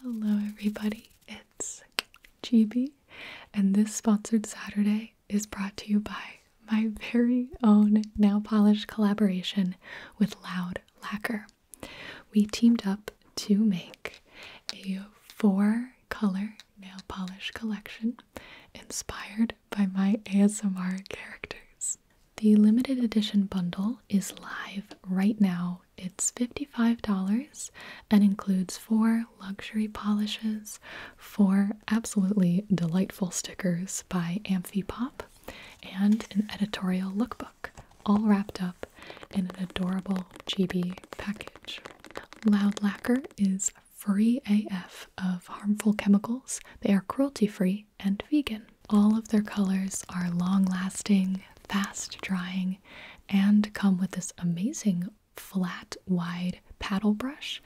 Hello, everybody. It's Chibi, and this sponsored Saturday is brought to you by my very own Now Polish collaboration with Loud Lacquer. We teamed up to make a four color nail polish collection inspired by my ASMR characters. The limited edition bundle is live right now it's $55 and includes four luxury polishes, four absolutely delightful stickers by Amphi Pop, and an editorial lookbook, all wrapped up in an adorable GB package. Loud Lacquer is free AF of harmful chemicals. They are cruelty free and vegan. All of their colors are long lasting, fast drying, and come with this amazing flat, wide paddle brush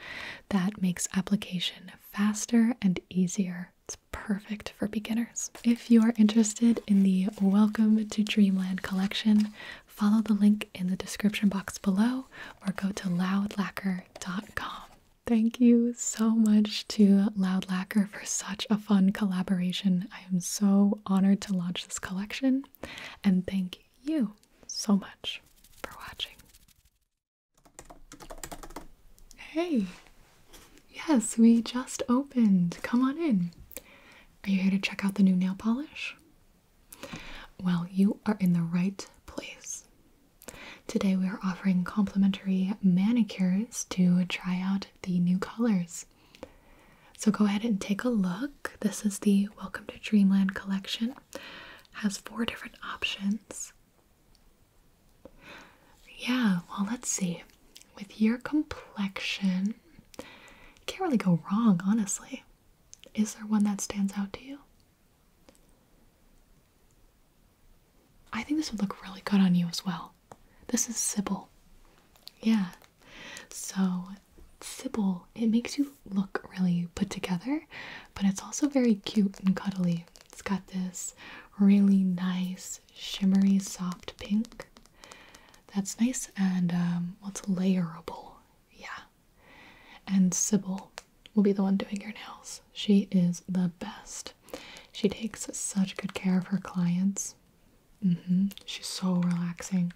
that makes application faster and easier. It's perfect for beginners. If you are interested in the Welcome to Dreamland collection, follow the link in the description box below or go to loudlacker.com. Thank you so much to Loud Lacquer for such a fun collaboration I am so honored to launch this collection and thank you so much for watching. Hey! Yes, we just opened. Come on in. Are you here to check out the new nail polish? Well, you are in the right place. Today we are offering complimentary manicures to try out the new colors. So go ahead and take a look. This is the Welcome to Dreamland collection. has four different options. Yeah, well, let's see. With your complexion, you can't really go wrong, honestly. Is there one that stands out to you? I think this would look really good on you as well. This is Sybil. Yeah. So Sybil, it makes you look really put together, but it's also very cute and cuddly. It's got this really nice, shimmery, soft pink. That's nice and um, well, layerable. Yeah. And Sybil will be the one doing your nails. She is the best. She takes such good care of her clients. Mm -hmm. She's so relaxing.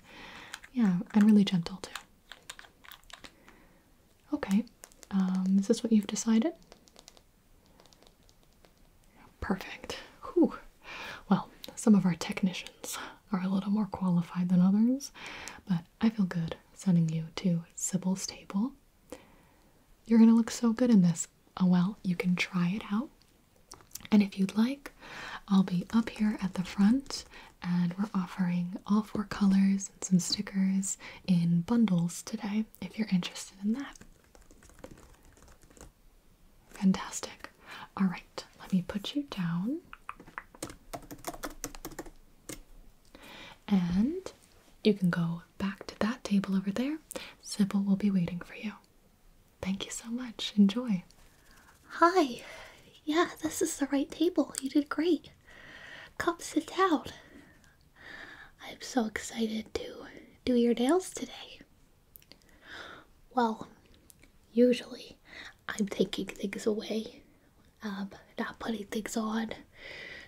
Yeah, and really gentle too. Okay, um, is this what you've decided? Perfect. Well, some of our technicians are a little more qualified than others, but I feel good sending you to Sybil's table. You're gonna look so good in this. Oh well, you can try it out and if you'd like, I'll be up here at the front and we're offering all four colors and some stickers in bundles today if you're interested in that. Fantastic. All right, let me put you down. And you can go back to that table over there. Sybil will be waiting for you. Thank you so much. Enjoy. Hi. Yeah, this is the right table. You did great. Come sit down. I'm so excited to do your nails today. Well, usually I'm taking things away, um, not putting things on.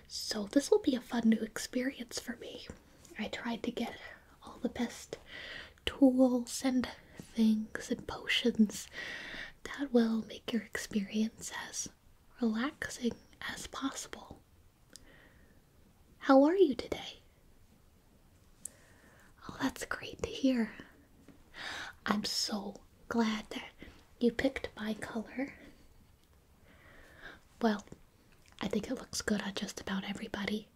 So this will be a fun new experience for me. I tried to get all the best tools and things and potions that will make your experience as relaxing as possible. How are you today? Oh, that's great to hear. I'm so glad that you picked my color. Well, I think it looks good on just about everybody.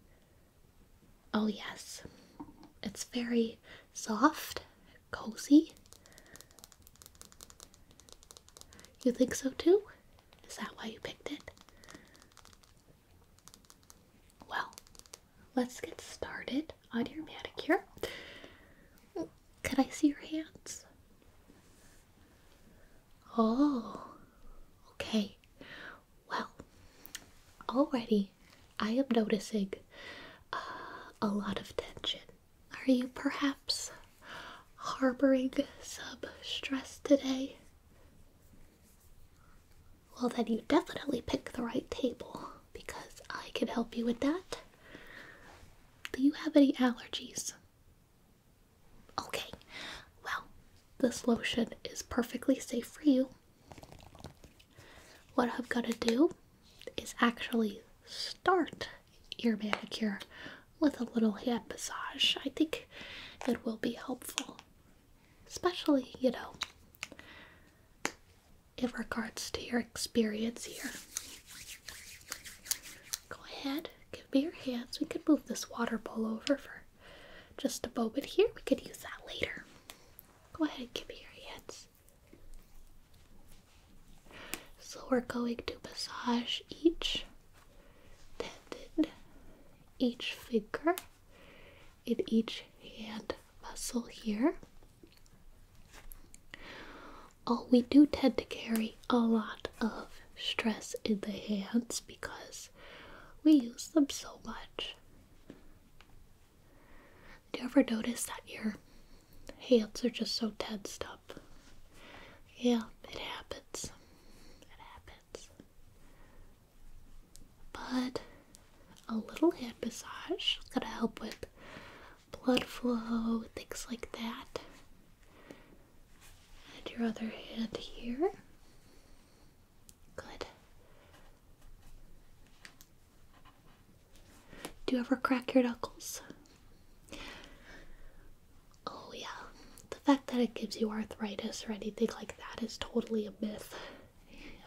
Oh, yes, it's very soft, cozy. You think so too? Is that why you picked it? Well, let's get started on your manicure. Could I see your hands? Oh, okay. Well, already I am noticing uh, a lot of tension. Are you perhaps harboring some stress today? Well, then you definitely picked the right table because I can help you with that. Do you have any allergies? Okay, well, this lotion is perfectly safe for you. What I've got to do is actually start your manicure with a little hand massage. I think it will be helpful, especially, you know, in regards to your experience here. Go ahead, give me your hands. We can move this water bowl over for just a bow here. We could use that later. Go ahead and give me your hands. So we're going to massage each tendon, each finger, in each hand muscle here. Oh, we do tend to carry a lot of stress in the hands because we use them so much. Do you ever notice that your hands are just so tensed up? Yeah, it happens. It happens. But a little hand massage is gonna help with blood flow, things like that. And your other hand here. Good. Do you ever crack your knuckles? Oh, yeah. The fact that it gives you arthritis or anything like that is totally a myth.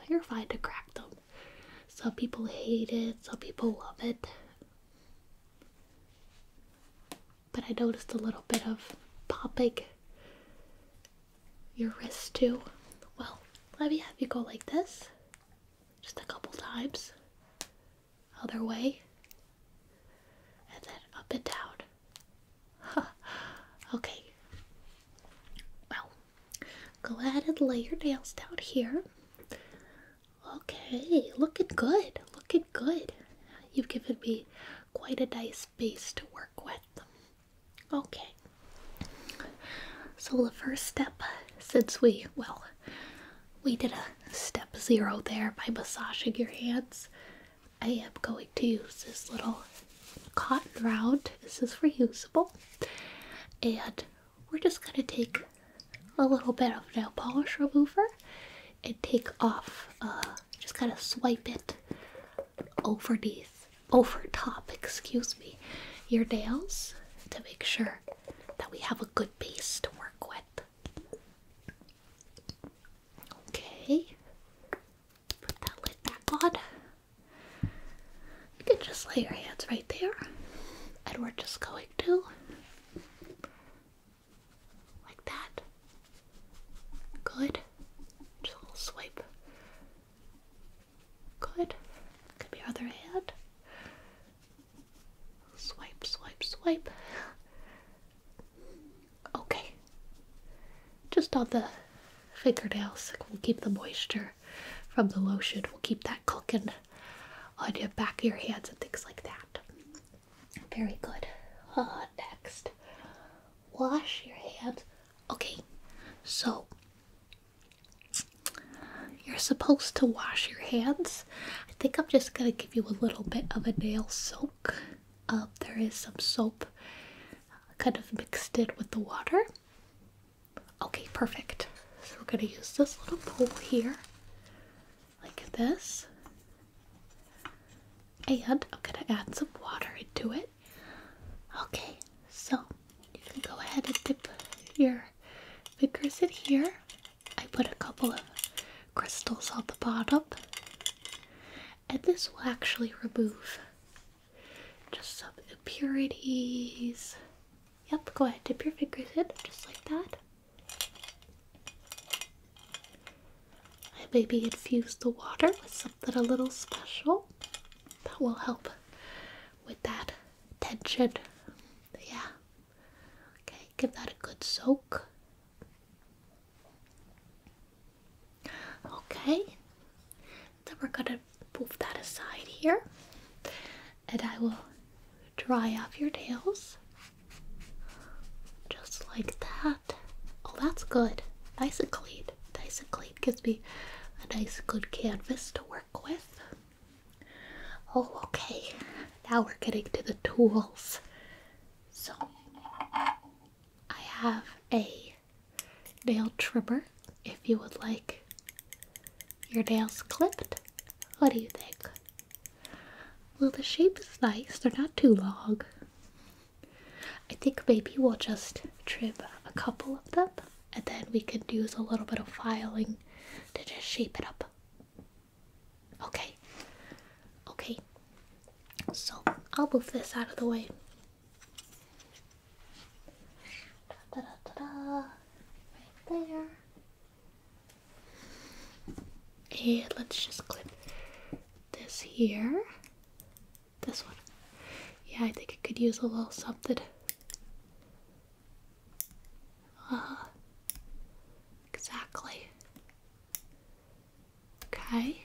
You're fine to crack them. Some people hate it, some people love it. But I noticed a little bit of popping your wrist too. Well, let me have you go like this just a couple times, other way, and then up and down. Okay. Well, go ahead and lay your nails down here. Okay, looking good, looking good. You've given me quite a nice space to work with. Okay, so the first step, since we, well, we did a step zero there by massaging your hands, I am going to use this little cotton round. This is reusable, and we're just going to take a little bit of nail polish remover and take off, uh, just kind of swipe it over these over top, excuse me, your nails to make sure that we have a good base to work with. Okay, put that lid back on. You can just lay your hands right there, and we're just going to like that. Good. Just a little swipe Good. Could be other hand. Swipe, swipe, swipe. Okay. Just on the fingernails. We'll keep the moisture from the lotion. We'll keep that cooking on your back of your hands and things like that. Very good. Uh, next, wash your hands Okay, so you're supposed to wash your hands. I think I'm just gonna give you a little bit of a nail soak. Uh, there is some soap kind of mixed it with the water. Okay, perfect. So we're gonna use this little bowl here, like this, and I'm gonna add some water into it. Okay, so you can go ahead and dip your fingers in here. I put a couple of crystals on the bottom, and this will actually remove just some impurities. Yep, go ahead, dip your fingers in just like that. I maybe infuse the water with something a little special that will help with that tension. Yeah. Okay, give that a good soak. Okay, then we're gonna move that aside here, and I will dry off your tails, just like that. Oh, that's good, nice and clean. Dicyclate gives me a nice good canvas to work with. Oh, okay. Now we're getting to the tools. So I have a nail trimmer if you would like your nails clipped. What do you think? Well, the shape is nice, they're not too long. I think maybe we'll just trim a couple of them and then we can use a little bit of filing to just shape it up. Okay. Okay. So I'll move this out of the way. And let's just clip this here. This one. Yeah, I think it could use a little something. Ah, exactly. Okay.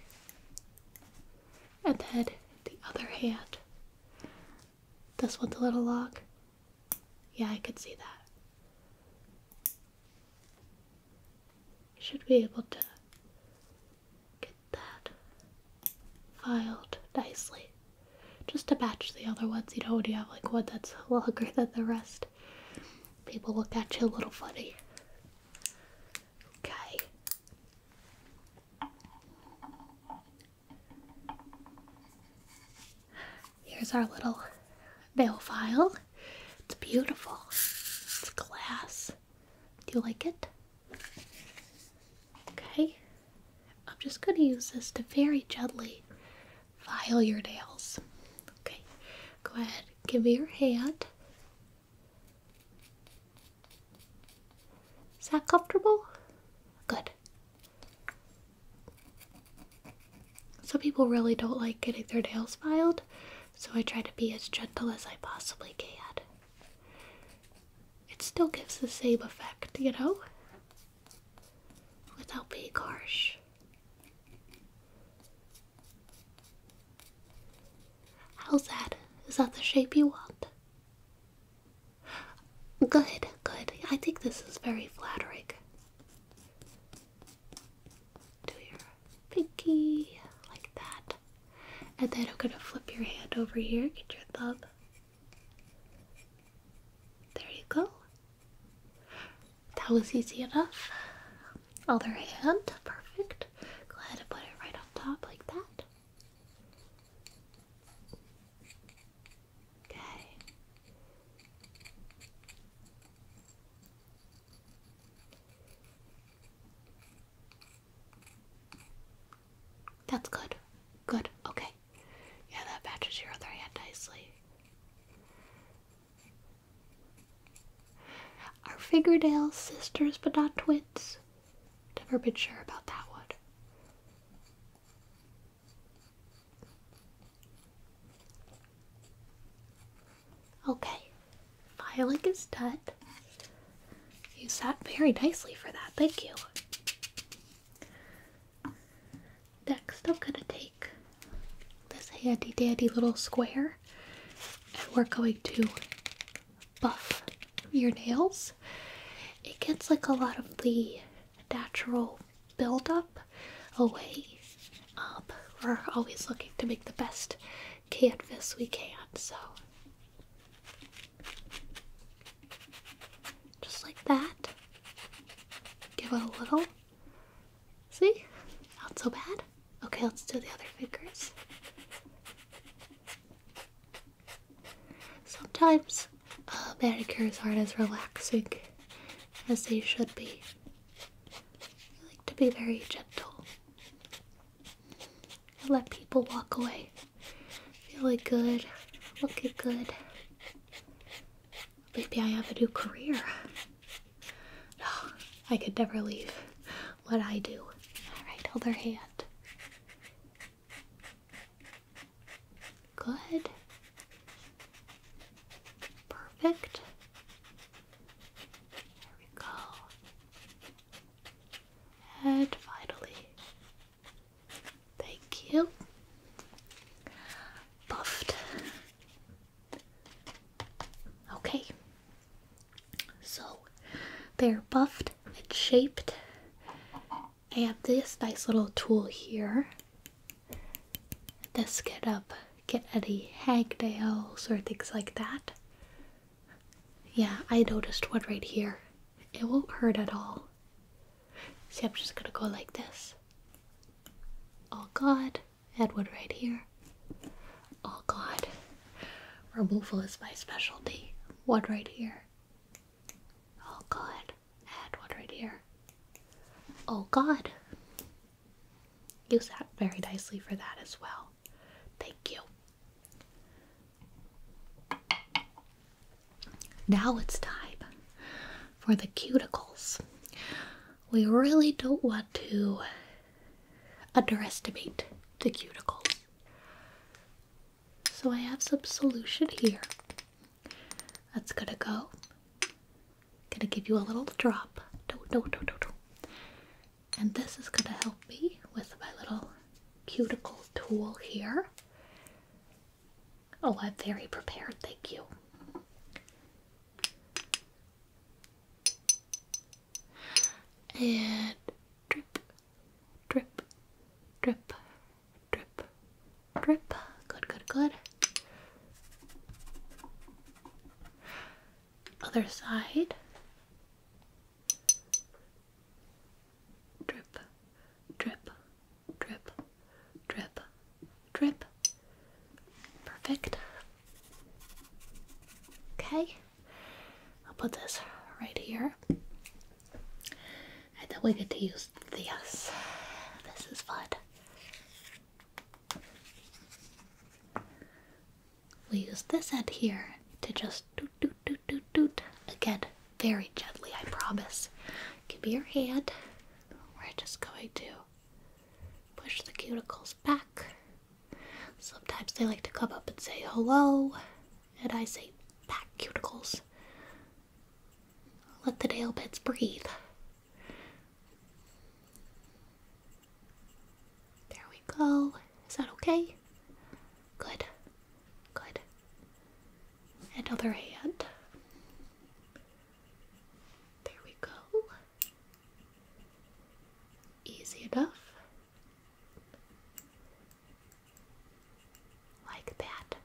And then the other hand. This one's a little lock. Yeah, I could see that. Should be able to get that filed nicely. Just to batch the other ones, you know, when you have like one that's longer than the rest, people look at you a little funny. Okay. Here's our little nail file. It's beautiful. It's glass. Do you like it? Okay. I'm just going to use this to very gently file your nails. Okay, go ahead, give me your hand. Is that comfortable? Good. Some people really don't like getting their nails filed, so I try to be as gentle as I possibly can it still gives the same effect, you know? Without being harsh. How's that? Is that the shape you want? Good, good. I think this is very flattering. Do your pinky like that. And then I'm gonna flip your hand over here, get your thumb, there you go. That was easy enough. Other hand, perfect. Go ahead put it right on top like that. Okay. That's good. Good. Okay. Yeah, that matches your other hand nicely. Are fingernails sisters but not twins? Never been sure about that one. Okay, filing is done. You sat very nicely for that, thank you. Next, I'm going to take this handy dandy little square and we're going to buff your nails. It gets like a lot of the natural buildup away. Up, um, we're always looking to make the best canvas we can, so just like that. Give it a little. See? Not so bad. Okay, let's do the other fingers. Sometimes uh, manicures aren't as relaxing as they should be. I like to be very gentle let people walk away. Feeling good. Looking good. Maybe I have a new career. No, I could never leave what I do. Alright, other hand. Good. Perfect. There we go. And finally, Thank you. Buffed. Okay. So they're buffed and shaped. I have this nice little tool here. This get up, um, get any hangnails or things like that. Yeah, I noticed one right here. It won't hurt at all. See, I'm just gonna go like this. Oh God, Edward right here. Oh God, removal is my specialty. What right here. Oh God, and right here. Oh God. Use that very nicely for that as well. Thank you. Now it's time for the cuticles. We really don't want to underestimate the cuticles. So I have some solution here. That's gonna go. Gonna give you a little drop. And this is gonna help me with my little cuticle tool here. Oh, I'm very prepared, thank you. And drip, drip, drip, drip, drip. Good, good, good. Other side drip, drip, drip, drip, drip. Perfect. Okay, I'll put this right here. And then we get to use this. This is fun. We use this end here to just do do do doot doot Again, very gently, I promise. Give me your hand. We're just going to push the cuticles back. Sometimes they like to come up and say hello, and I say back cuticles. Let the nail beds breathe. There we go. Is that okay? Good. Good. And other hand. There we go. Easy enough. Like that.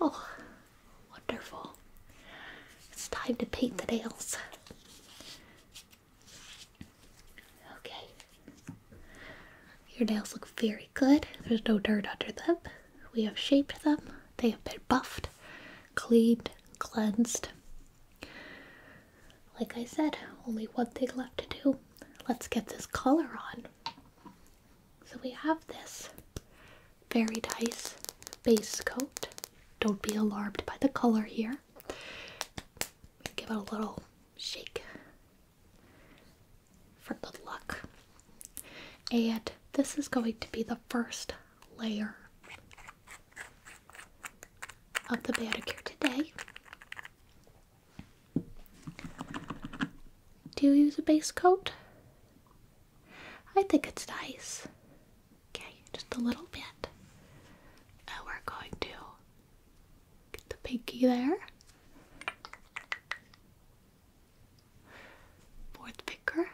Oh, wonderful. It's time to paint the nails. Okay. Your nails look very good. There's no dirt under them. We have shaped them. They have been buffed, cleaned, cleansed. Like I said, only one thing left to do. Let's get this color on. So we have this very nice base coat. Don't be alarmed by the color here. Give it a little shake for good luck. And this is going to be the first layer of the manicure today. Do you use a base coat? I think it's nice. Okay, just a little bit. And we're going to get the pinky there. Fourth picker.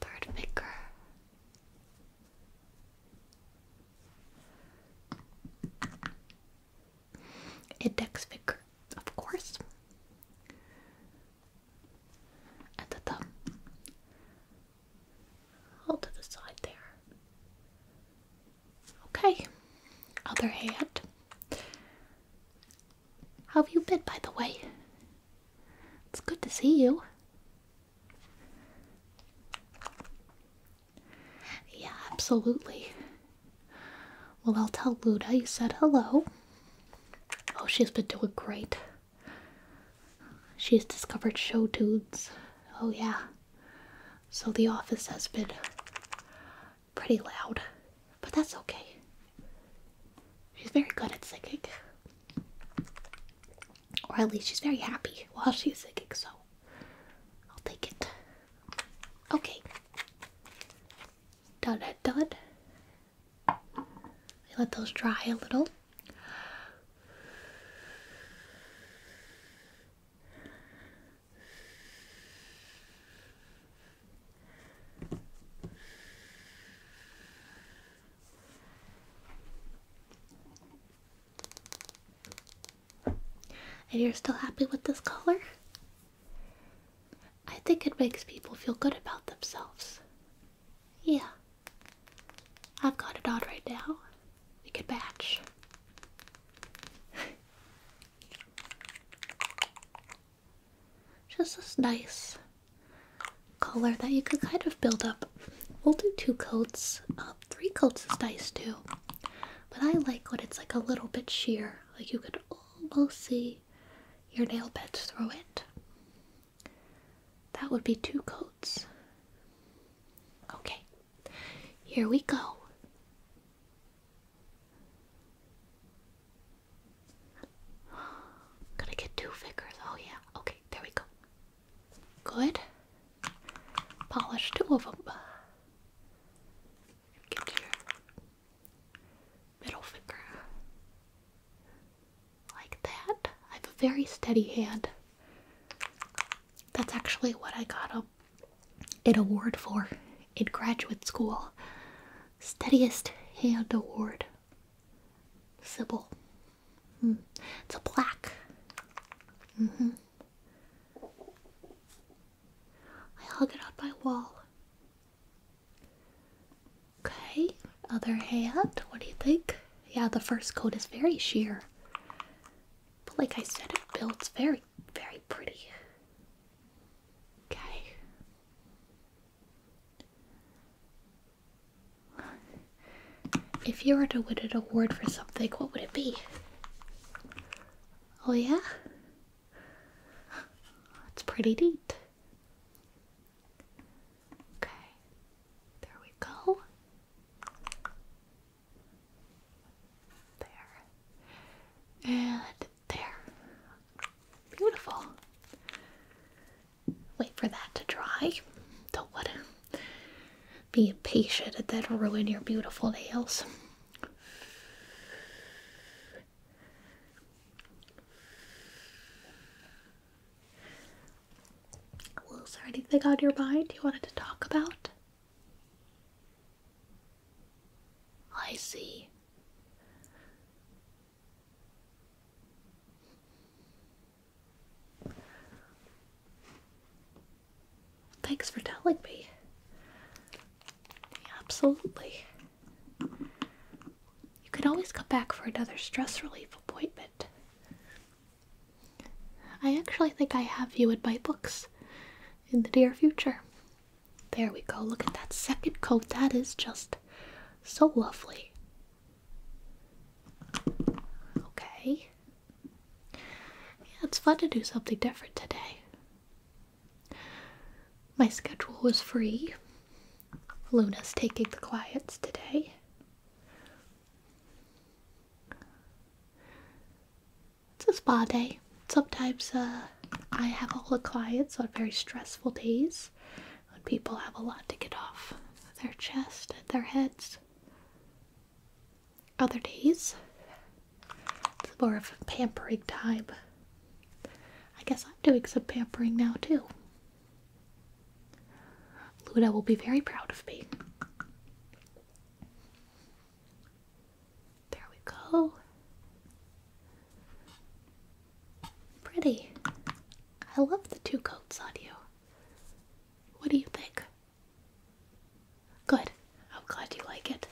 Third picker. Index finger, of course. At the thumb all to the side there. Okay, other hand. How have you been, by the way? It's good to see you. Yeah, absolutely. Well, I'll tell Luda you said hello. Oh, she's been doing great. She's discovered show tunes. Oh, yeah. So the office has been pretty loud, but that's okay. She's very good at singing. Or at least she's very happy while she's singing, so I'll take it. Okay. Done done. let those dry a little. If you're still happy with this color, I think it makes people feel good about themselves. Yeah. I've got it on right now. We could batch. Just this nice color that you could kind of build up. We'll do two coats. Up, uh, three coats is nice too. But I like when it's like a little bit sheer. Like you could almost see your nail beds through it. That would be two coats. Okay, here we go. Gonna get two figures. Oh, yeah. Okay, there we go. Good. Polish two of them. Get your middle finger. Like that. I have a very steady hand. That's actually what I got a an award for in graduate school. Steadiest hand award. Sybil. Hmm. It's a plaque. Mm-hmm. I hung it on my wall. Okay, other hand. What do you think? Yeah, the first coat is very sheer. But like I said, it builds very, very pretty. Okay. If you were to win an award for something, what would it be? Oh, yeah? it's pretty deep. Okay, there we go. There. And there. Beautiful. Wait for that to dry. Don't wanna be impatient and then ruin your beautiful nails. Was there anything on your mind you wanted to talk about? I see. Thanks for telling me. Absolutely. You can always come back for another stress relief appointment. I actually think I have you in my books in the near future. There we go. Look at that second coat. That is just so lovely. Okay. Yeah, it's fun to do something different today. My schedule was free. Luna's taking the clients today. It's a spa day. Sometimes uh, I have all the clients on very stressful days when people have a lot to get off their chests, and their heads. Other days, it's more of a pampering time. I guess I'm doing some pampering now too. Luda will be very proud of me. There we go. Pretty. I love the two coats on you. What do you think? Good. I'm glad you like it.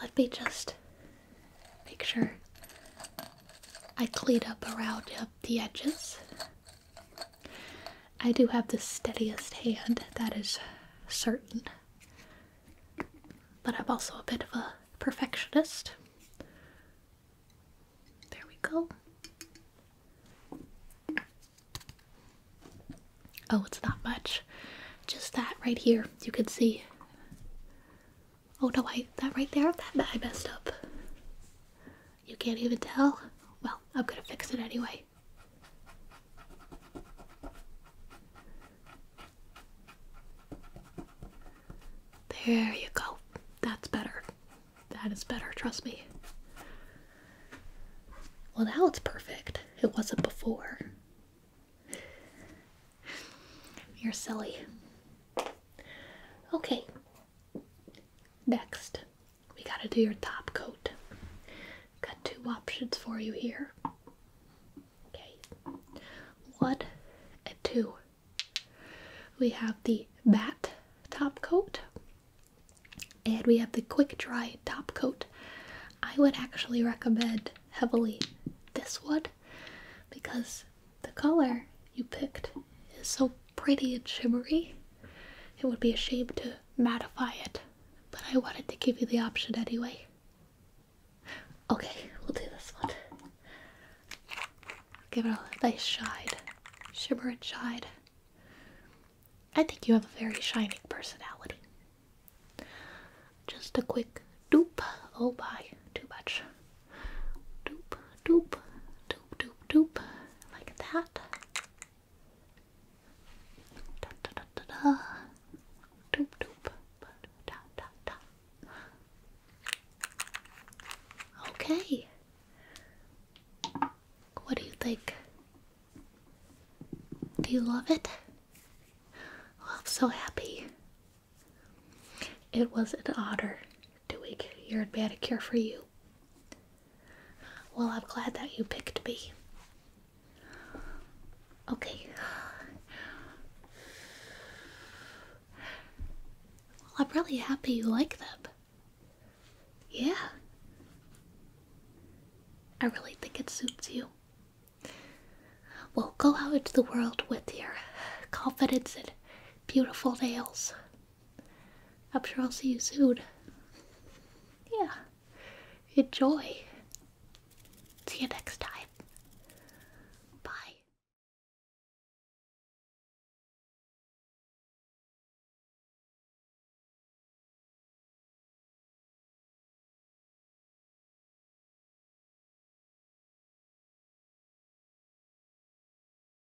Let me just make sure I clean up around him the edges. I do have the steadiest hand, that is certain. But I'm also a bit of a perfectionist. There we go. Oh, it's not much. Just that right here. You can see. Oh no, I that right there. That I messed up. You can't even tell? Well, I'm gonna fix it anyway. There you go. That's better. That is better, trust me. Well, now it's perfect. It wasn't before. You're silly. Okay, Next, we gotta do your top coat. Got two options for you here. Okay, one and two. We have the matte top coat and we have the quick dry top coat. I would actually recommend heavily this one because the color you picked is so pretty and shimmery. It would be a shame to mattify it, but I wanted to give you the option anyway. Okay, we'll do this one. Give it a nice shine. Shimmer and shine. I think you have a very shining personality. Just a quick doop. Oh by too much. Doop, doop, doop, doop, doop, like that. Da, da, da, da, da. Doop, doop, da, da, da. Okay. What do you think? Do you love it? Oh, I'm so happy. It was an otter doing your manicure for you. Well, I'm glad that you picked me. Okay. Well, I'm really happy you like them. Yeah. I really think it suits you. Well, go out into the world with your confidence and beautiful nails. I'm sure I'll see you soon. Yeah. Enjoy. See you next time. Bye.